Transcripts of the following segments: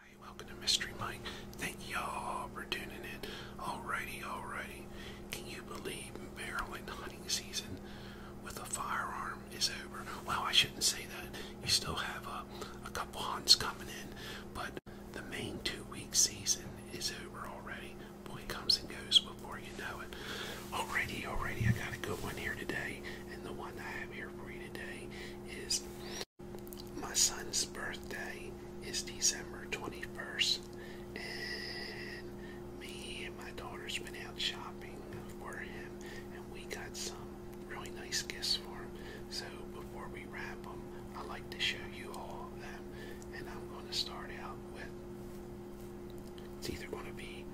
Hi, welcome to Mystery Mike. Thank y'all for tuning in. all righty. Can you believe barrel and hunting season with a firearm is over? Well, I shouldn't say that. You still have a, a couple hunts coming in, but the main two-week season is over already. Boy, comes and goes before you know it. All righty, all righty. I got a good one here today, and the one I have here for you today is my son's birthday is December 21st, and me and my daughter been out shopping for him, and we got some really nice gifts for him. So before we wrap them, I like to show you all of them, and I'm going to start out with it's either going to be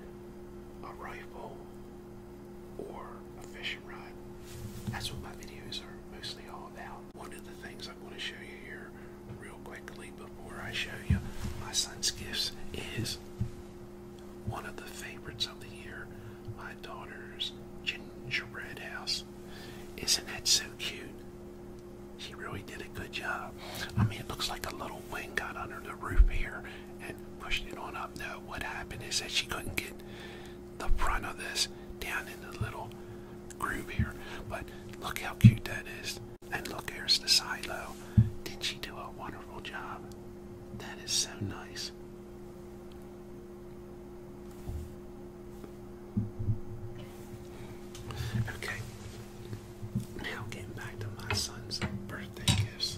a rifle or a fishing rod. That's what my videos are mostly all about. One of the things i want to show you here real quickly before I show you my son's gifts is one of the favorites of the year, my daughter's gingerbread house. Isn't that so cute? She really did a good job. I mean, it looks like a little wing got under the roof here and pushed it on up. No, what happened is that she couldn't get the front of this down in the little groove here. But look how cute that is. And look, here's the silo. Did not she do a wonderful job? That is so nice. Okay, now getting back to my son's birthday gifts.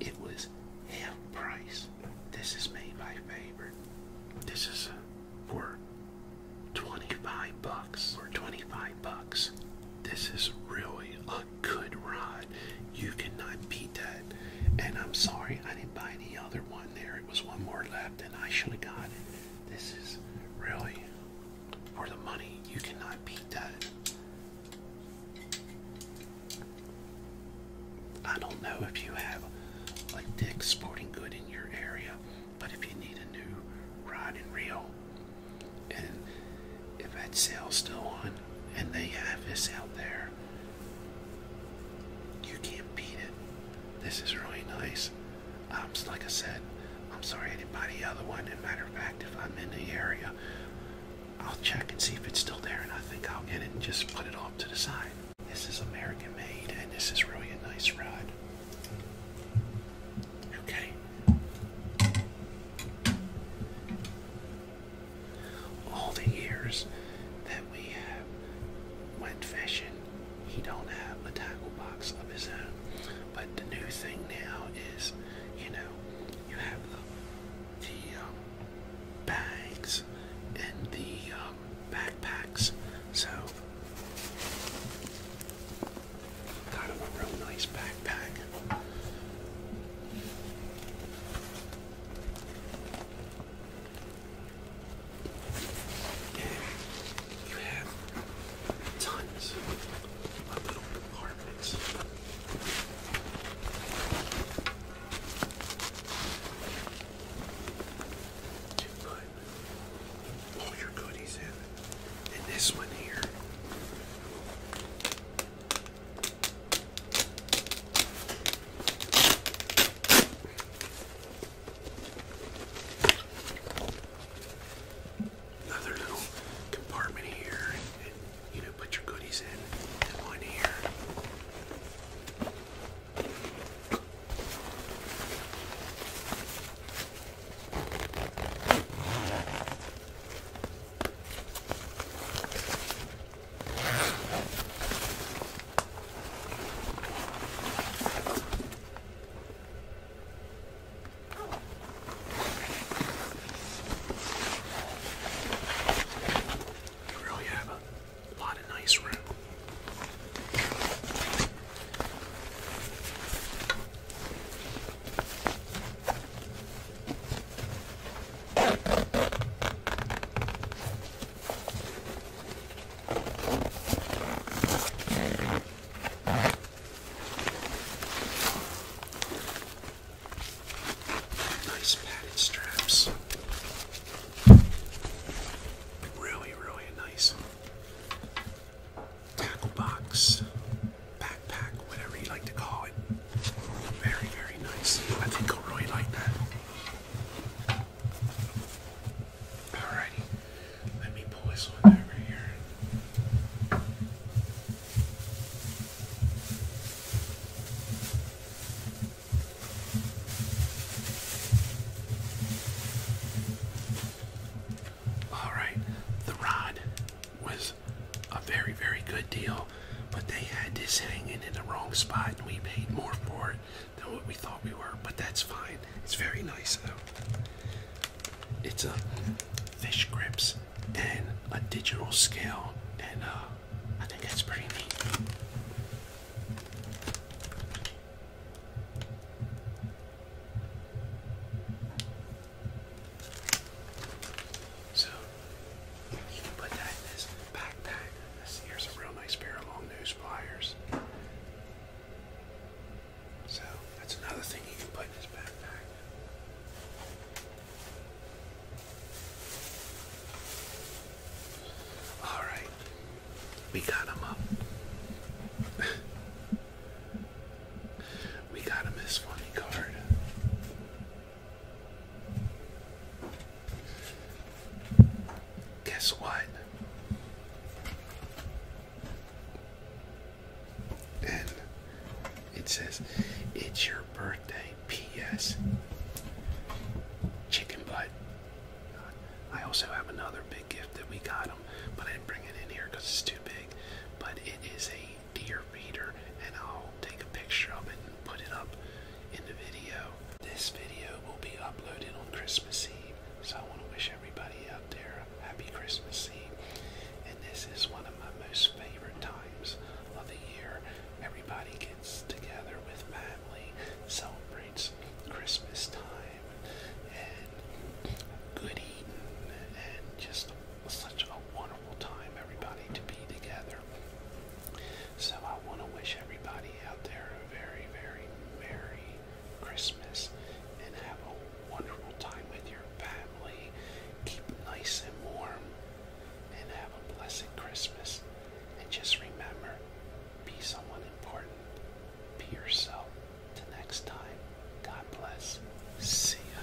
It was half price. This is made by favorite. This is uh, for 25 bucks. For 25 bucks. This is really a good rod. You cannot beat that. And I'm sorry I didn't buy the other one there. It was one more left and I should have got it. This is really for the money. You cannot beat that. I don't know if you have like Dick's Sporting Good in your area, but if you need a new rod and reel, and if that sale's still on and they have this out there, you can't beat it. This is really nice. Um, so like I said, I'm sorry I didn't buy the other one. As matter of fact, if I'm in the area, I'll check and see if it's still there, and I think I'll get it and just put it off to the side. This is American made, and this is really a nice rod. Okay. All the years that we went fishing, he don't have a tackle box of his own. But the new thing now is, you know, you have the, the um, bags and the um, backpacks. So, got him a real nice backpack you have tons of little compartments. To put all your goodies in. And this one here Another little compartment here, and, and you know, put your goodies in. And one here. You really have a lot of nice room. Nice padded straps. Really, really nice. Tackle box, backpack, whatever you like to call it. Very, very nice. I think i like that. Alrighty, let me pull this one over here. Alright, the rod was a very, very good deal, but they had this hanging in the wrong spot and we paid more for it than what we thought we were, but that's fine. It's very nice though. It's a uh, fish grips and a digital scale, and uh, I think that's pretty neat. So you can put that in this backpack. This, here's a real nice pair of long nose pliers. So that's another thing you can put in his backpack. All right, we got him up. we got him this funny card. Guess what? And it says, It's your birthday, P.S. Chicken butt. I also have another big gift that we got them, but I didn't bring it in here because it's too big. But it is a deer feeder, and I'll take a picture of it put up in the video. This video will be uploaded on Christmas Eve, so I want to wish everybody out there a happy Christmas Eve. And this is one of my most favorite times of the year. Everybody gets together with family, celebrates Christmas time, and good eating, and just such a wonderful time, everybody, to be together. So I want to wish everybody out there a very, very merry Christmas and have a wonderful time with your family. Keep nice and warm and have a blessed Christmas. And just remember, be someone important. Be yourself. Till next time, God bless. See ya.